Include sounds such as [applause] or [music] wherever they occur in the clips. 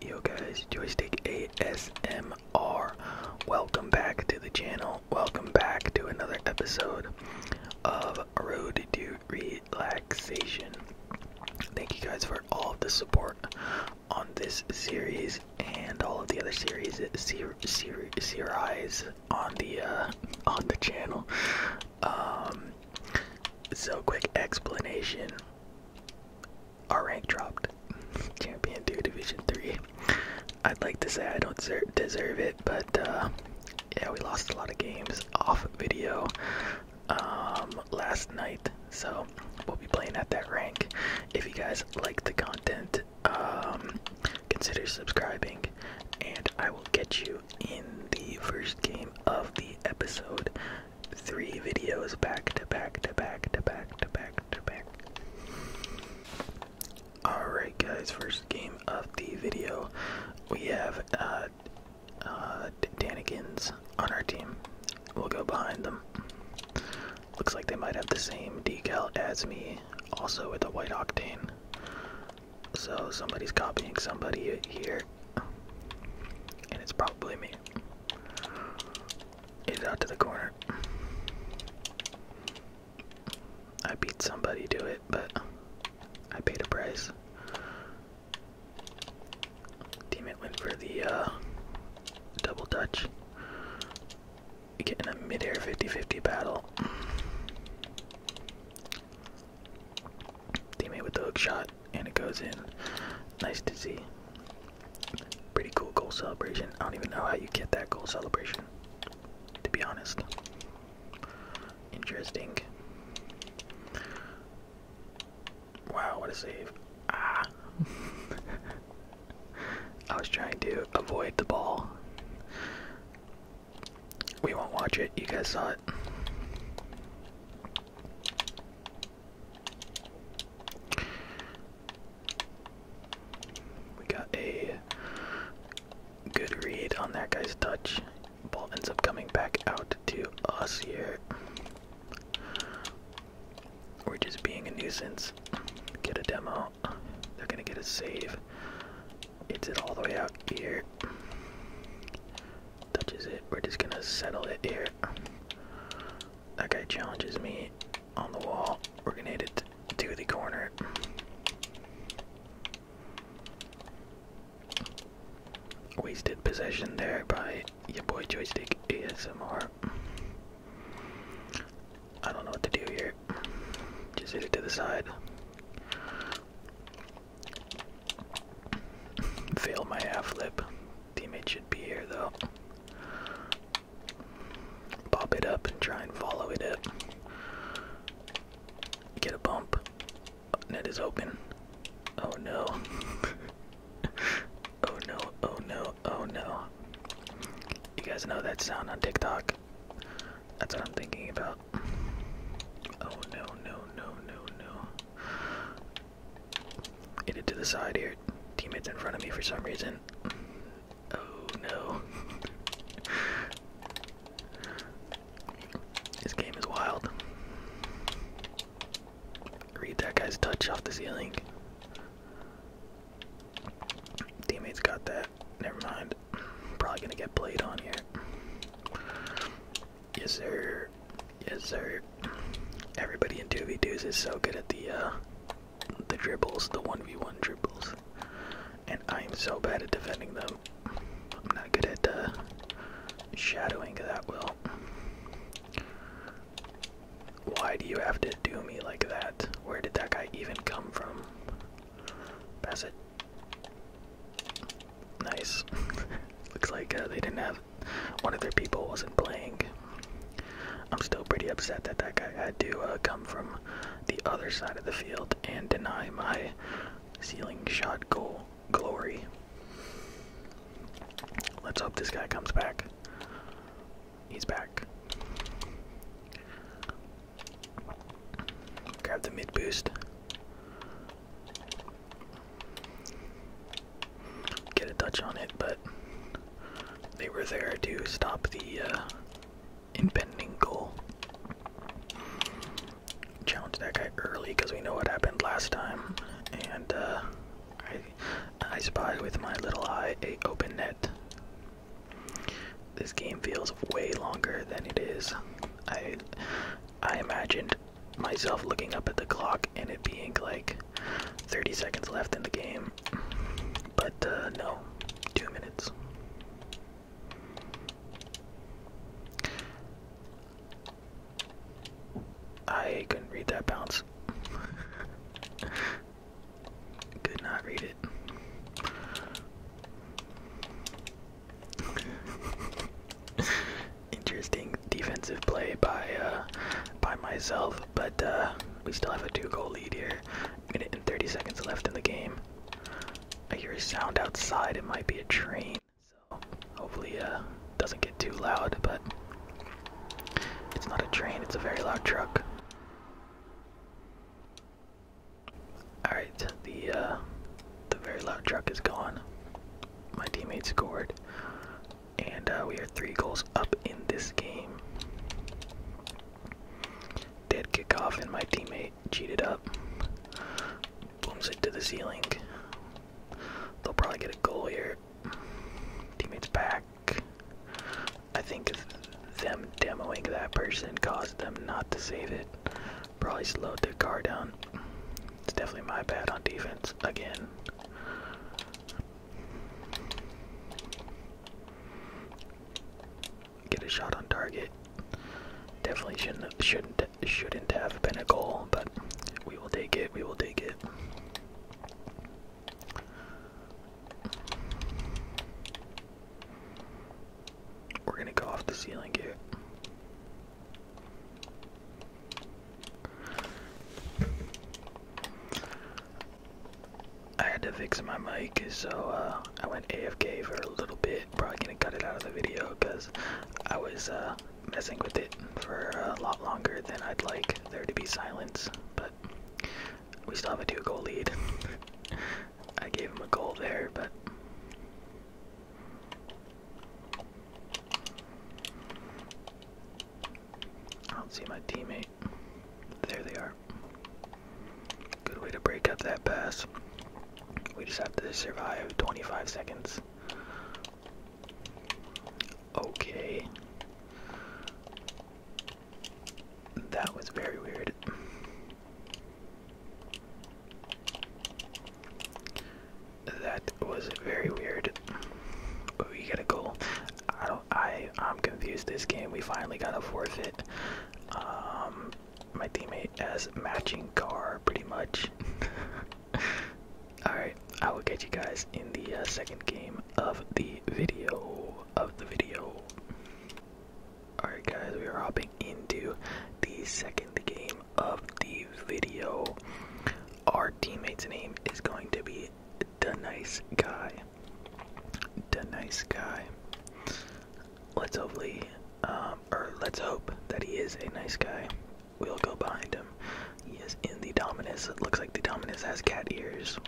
Yo guys, Joystick ASMR. Welcome back to the channel. Welcome back to another episode of Road to Relaxation. Thank you guys for all the support on this series and all of the other series series ser series on the uh, on the channel. Um, so quick explanation: our rank dropped, Champion Two Division Three. I'd like to say I don't deserve it, but uh, yeah, we lost a lot of games off video um, last night. So we'll be playing at that rank. If you guys like the content, um, consider subscribing, and I will get you in the first game of the episode. Three videos back to back to back to back to back to back. Alright, guys, first game of the video. We have uh, uh, Danikins on our team. We'll go behind them. Looks like they might have the same decal as me, also with the white octane. So somebody's copying somebody here. And it's probably me. It's out to the corner. I beat somebody to it, but I paid a price. Teammate went for the uh, double touch. getting a midair 50-50 battle. Teammate with the hook shot, and it goes in. Nice to see. Pretty cool goal celebration. I don't even know how you get that goal celebration, to be honest. Interesting. Wow, what a save. Ah. [laughs] I was trying to avoid the ball. We won't watch it. You guys saw it. We got a good read on that guy's touch. Ball ends up coming back out to us here. We're just being a nuisance. Get a demo. They're gonna get a save. It's it all the way out here. Touches it. We're just gonna settle it here. That guy challenges me on the wall. We're gonna hit it to the corner. Wasted possession there by your boy Joystick ASMR. I don't know what to do here. Just hit it to the side. Fail my half flip. Teammate should be here though. Pop it up and try and follow it up. Get a bump. Net is open. Oh no. [laughs] [laughs] oh no, oh no, oh no. You guys know that sound on TikTok? That's what I'm thinking about. Oh no, no, no, no, no. Hit it to the side here. Teammates in front of me for some reason. Oh no. [laughs] this game is wild. Read that guy's touch off the ceiling. Teammates got that. Never mind. Probably gonna get played on here. Yes, sir. Yes, sir. Everybody in 2v2s is so good at the, uh, the dribbles, the 1v1 dribbles. And I'm so bad at defending them. I'm not good at, uh, shadowing that well. Why do you have to do me like that? Where did that guy even come from? Pass it. Nice. [laughs] Looks like uh, they didn't have one of their people wasn't playing. I'm still pretty upset that that guy had to uh, come from the other side of the field and deny my ceiling shot goal glory. Let's hope this guy comes back. He's back. Grab the mid boost. Get a touch on it, but they were there to stop the uh, impending goal. Challenge that guy early because we know what happened last time, and uh, I, spy with my little eye a open net. This game feels way longer than it is. I I imagined myself looking up at the clock and it being like 30 seconds left in the game. But uh, no, two minutes. I couldn't read that bounce. Could not read it. Interesting defensive play by uh, by myself, but uh, we still have a two-goal lead here. Minute and 30 seconds left in the game. I hear a sound outside. It might be a train so hopefully uh doesn't get too loud, but it's not a train, it's a very loud truck. Alright, the uh, the very loud truck is gone. My teammate scored. And uh, we are three goals up in this game. Dead kickoff, and my teammate cheated up. Booms it to the ceiling. They'll probably get a goal here. Teammates back. I think them demoing that person caused them not to save it. Probably slowed the car down. It's definitely my bad on defense again. Get a shot on target. Definitely shouldn't shouldn't shouldn't have been a goal, but we will take it. We will take it. We're gonna go off the ceiling here. I had to fix my mic, so uh, I went AFK for a little bit. Probably gonna cut it out of the video because I was uh, messing with it for a lot longer than I'd like there to be silence, but we still have a two goal lead. [laughs] I gave him a goal there, but. I don't see my teammate. There they are. Good way to break up that pass. We just have to survive 25 seconds. Okay. That was very weird. That was very weird. We got a goal. I I. am confused. This game, we finally got to forfeit. Um, my teammate as matching car, pretty much. [laughs] [laughs] Alright, I will catch you guys in the uh, second game of the video. Of the video. Alright, guys, we are hopping into the second game of the video. Our teammate's name is going to be The Nice Guy. The Nice Guy. Let's hopefully um, or let's hope that he is a nice guy. We'll go behind him. He is in the Dominus. It looks like the Dominus has cat ears.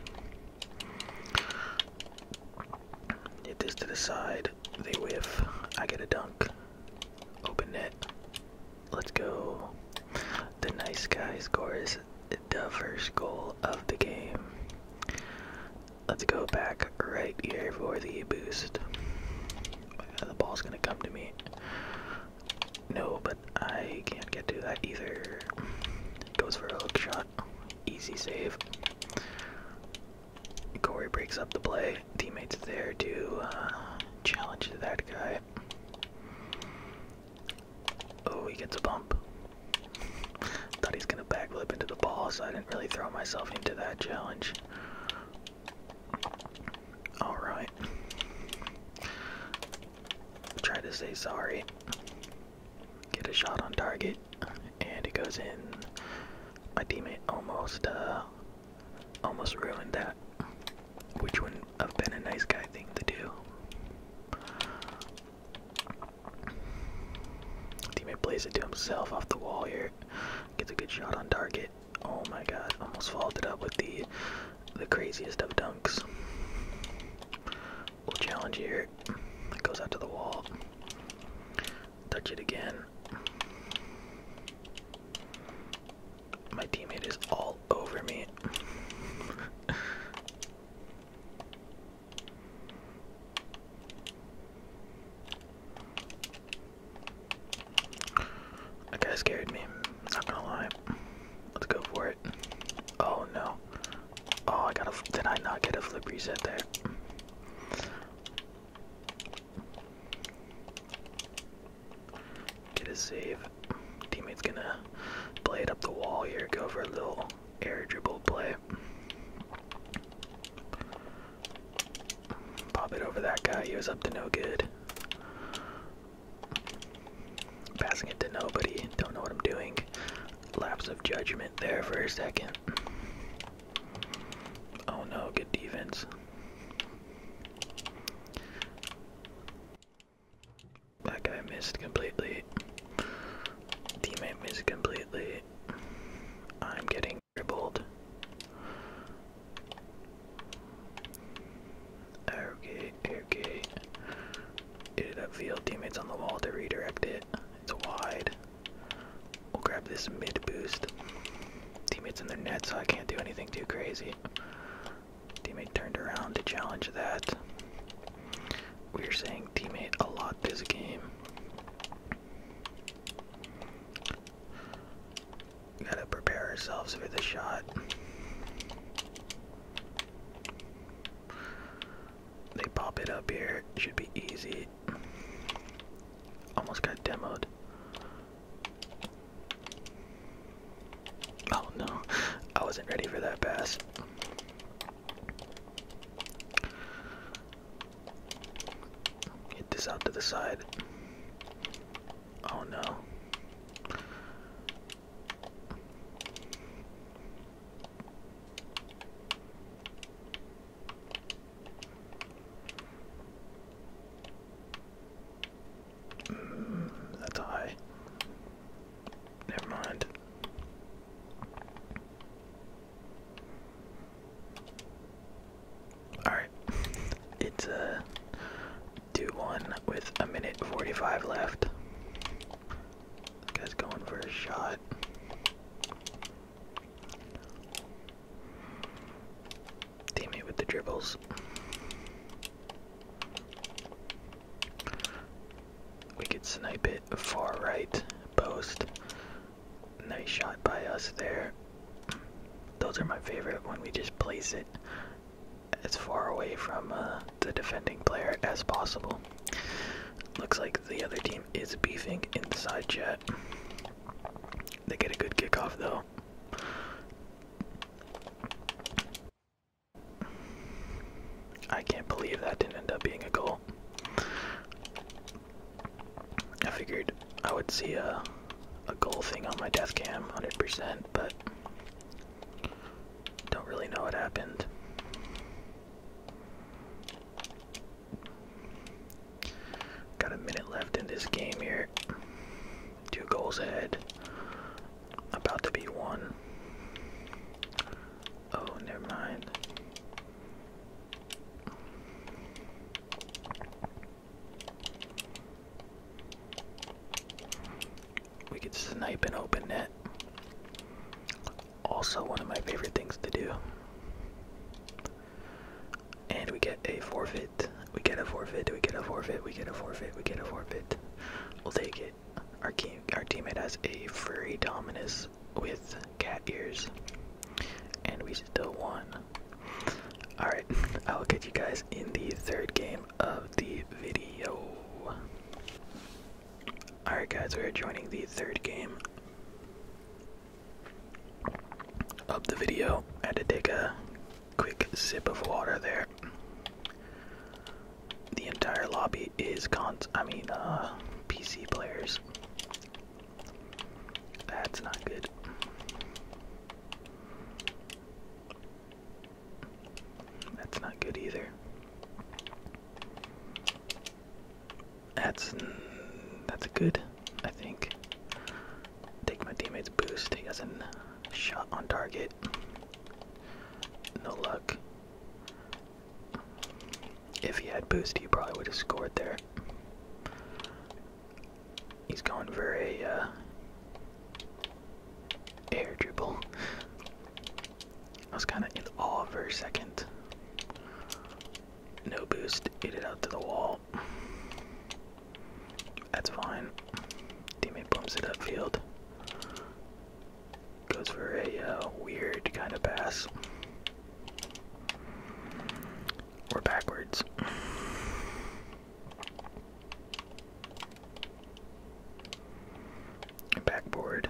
Get this to the side. They whiff. I get a dunk. Open net. Let's go. The nice guy scores the first goal of the game. Let's go back right here for the boost. Uh, the ball's gonna come to me. No, but I can't get to that either. Goes for a hook shot. Easy save. Corey breaks up the play. Teammates there to uh, challenge that guy. Oh, he gets a bump. Thought he's gonna backflip into the ball, so I didn't really throw myself into that challenge. Alright. Try to say sorry. Get a shot on target. And it goes in. I deem it almost uh almost ruined that. Which wouldn't have been a nice guy thing to do. Teammate plays it to himself off the wall here. Gets a good shot on target. Oh my god, almost followed it up with the the craziest of dunks. We'll challenge here. goes out to the wall. Touch it again. My teammate is all over me. That guy scared me. Not gonna lie. Let's go for it. Oh no. Oh, I got a. Did I not get a flip reset there? Get a save. Teammate's gonna play it up the wall here. Go for a little air dribble play. Pop it over that guy. He was up to no good. Passing it to nobody. Don't know what I'm doing. Lapse of judgment there for a second. Oh no, good defense. That guy missed completely. Teammate missed completely. I'm getting being dribbled. Okay, Get it upfield. Teammates on the wall to redirect it. It's wide. We'll grab this mid boost. Teammates in their net, so I can't do anything too crazy. Teammate turned around to challenge that. We're saying teammate a lot this game. Gotta prepare ourselves for the shot. They pop it up here. Should be easy. Almost got demoed. Oh no, I wasn't ready for that pass. Get this out to the side. Oh no. Mm, that's high. Never mind. Alright. It's a uh, 2 1 with a minute 45 left. guy's going for a shot. Teammate with the dribbles. We could snipe it far right post nice shot by us there. Those are my favorite when we just place it as far away from uh, the defending player as possible. Looks like the other team is beefing inside chat. They get a good kickoff though. I can't believe that didn't end up being a goal. I figured I would see a, a goal thing on my death cam, 100%, but don't really know what happened. Got a minute left in this game here. Two goals ahead. About to be one. Oh, never mind. We could snipe an open net. Also, one of my favorite things to do. And we get a forfeit. We get a forfeit. We get a forfeit. We get a forfeit. We get a forfeit. We'll take it. Our team, our teammate has a furry Dominus with cat ears. And we still won. Alright, [laughs] I'll get you guys in the third game of the video. Alright, guys, we are joining the third game of the video. I had to take a quick sip of water there. The entire lobby is cons, I mean, uh, PC players. That's not good. That's not good either. That's that's good, I think. Take my teammate's boost. He has a shot on target. No luck. If he had boost, he probably would have scored there. He's going for a uh, air dribble. I was kind of in awe for a second. No boost, hit it out to the wall. That's fine. Teammate bumps it upfield. Goes for a uh, weird kind of pass. Or backwards. Backboard.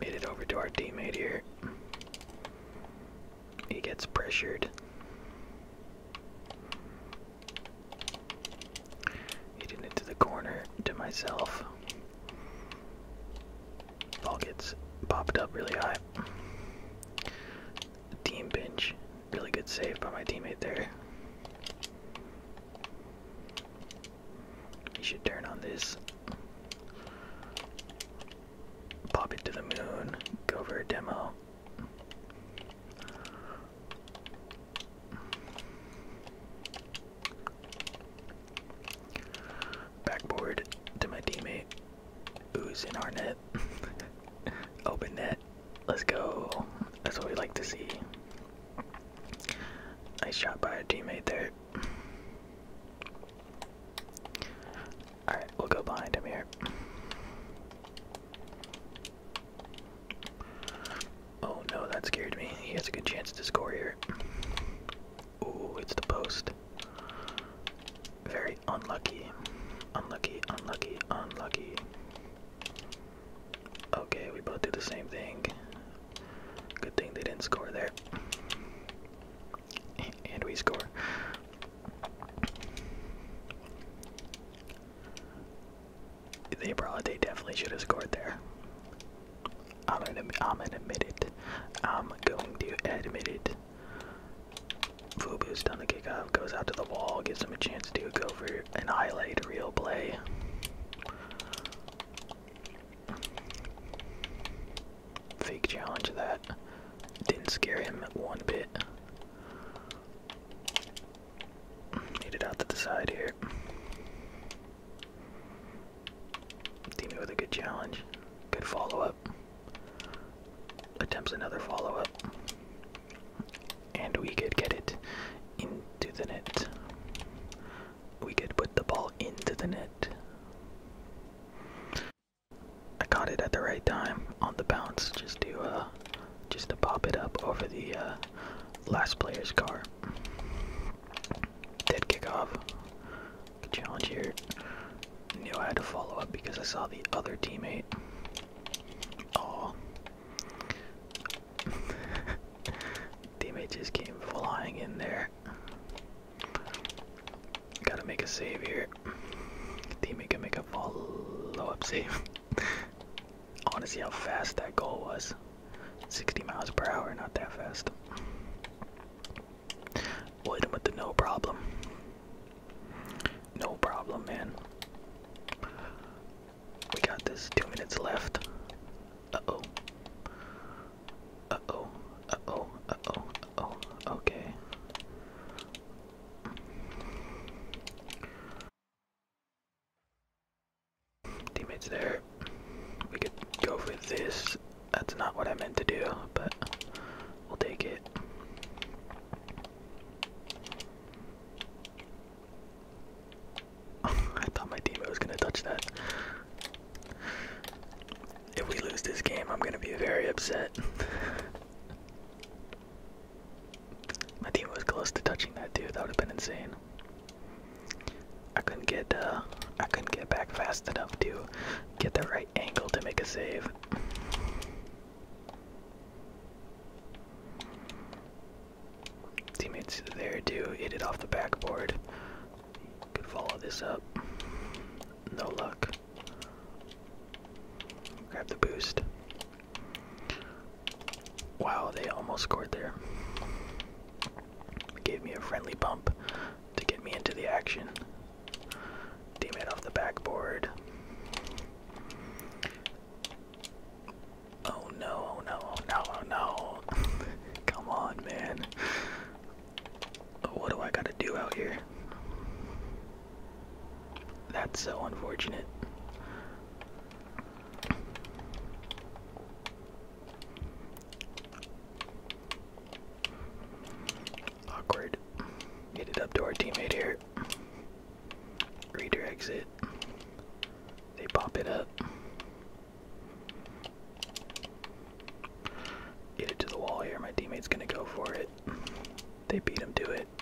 Made it over to our teammate here. He gets pressured. Hidden into the corner to myself. Ball gets popped up really high. team pinch. Really good save by my teammate there. He should turn on this. Pop it to the moon. Go for a demo. Backboard to my teammate who's in our net. [laughs] Open net. Let's go. That's what we like to see. Nice shot by our teammate there. Alright, we'll go behind him here. Oh no, that scared me. He has a good chance to score here. Ooh, it's the post. Very unlucky. Unlucky, unlucky, unlucky. Okay, we both do the same thing. Good thing they didn't score there. And we score. They probably, they definitely should have scored there. I'm gonna, I'm gonna admit it. I'm going to admit it. Fubu's done the kickoff, goes out to the wall, gives him a chance to go for an highlight real play. Fake challenge that didn't scare him one bit. Need it out to the side here. Teaming with a good challenge. Good follow up. Attempts another follow up. And we could get it into the net. We could put the ball into the net. I caught it at the right time on the bounce just to uh, just to pop it up over the uh, last player's car. Dead kickoff. challenge here. Knew I had to follow up because I saw the other teammate. Oh. [laughs] teammate just came flying in there. Gotta make a save here. Teammate can make a follow-up save. I want to see how fast that goal was. 60 miles per hour, not that fast. We'll the no problem. No problem, man. We got this. Two minutes left. Uh-oh. Uh-oh. Uh-oh. Uh-oh. oh Okay. Teammates there. We could go for this. That's not what I meant to do, but we'll take it. [laughs] I thought my teammate was gonna touch that. If we lose this game, I'm gonna be very upset. [laughs] My team was close to touching that dude. That would have been insane. I couldn't get uh, I couldn't get back fast enough to get the right angle to make a save. Teammates there Dude hit it off the backboard. Could follow this up. No luck. Grab the boost. Wow, they almost scored there. Gave me a friendly bump to get me into the action. Teammate off the backboard. Oh no, oh no, oh no, oh no. [laughs] Come on, man. What do I gotta do out here? That's so unfortunate. Awkward. Get it up to our teammate here. Redirects it. They pop it up. Get it to the wall here. My teammate's gonna go for it. They beat him to it. He's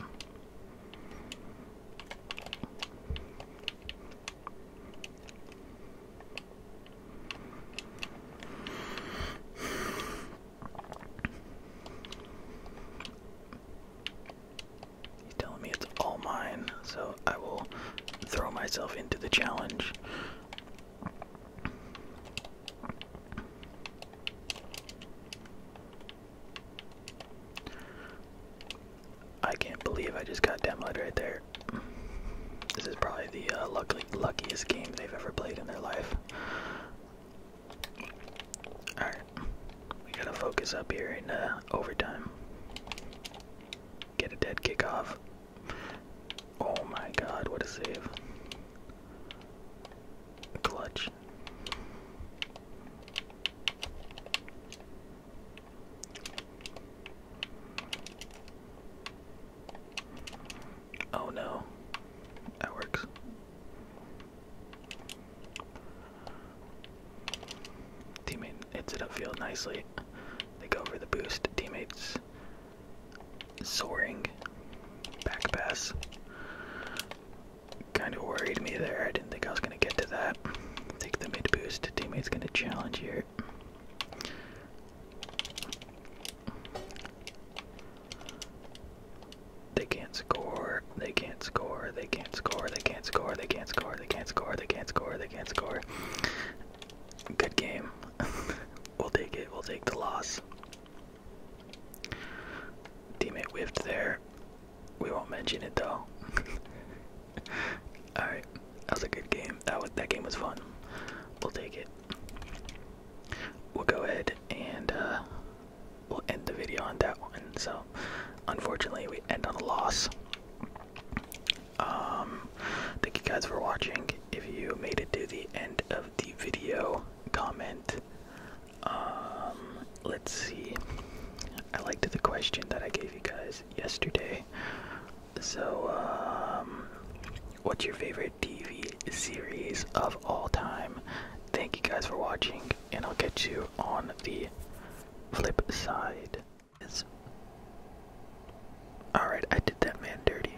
telling me it's all mine, so I will throw myself into the challenge. I can't believe I just got demoted right there. This is probably the uh, luckiest game they've ever played in their life. Alright, we gotta focus up here in uh, overtime. Get a dead kickoff. Oh my god, what a save. Clutch. Oh no, that works. Teammate hits it upfield nicely. They go for the boost. Teammates soaring back pass. Kind of worried me there. I didn't think I was going to get to that. Take the mid boost. Teammate's going to challenge here. They can't score. They can't score. They can't score. They can't score. They can't score. They can't score. They can't score. They can't score. Good game. [laughs] we'll take it. We'll take the loss. Teammate whiffed there. We won't mention it though. [laughs] Alright. That was a good game. That was that game was fun. We'll take it. We'll go ahead and uh, we'll end the video on that one. So unfortunately we end on a loss. Um, thank you guys for watching. If you made it to the end of the video comment. Um, let's see. I liked the question that I gave you guys yesterday. So, um, what's your favorite TV series of all time? Thank you guys for watching, and I'll get you on the flip side. Alright, I did that man dirty.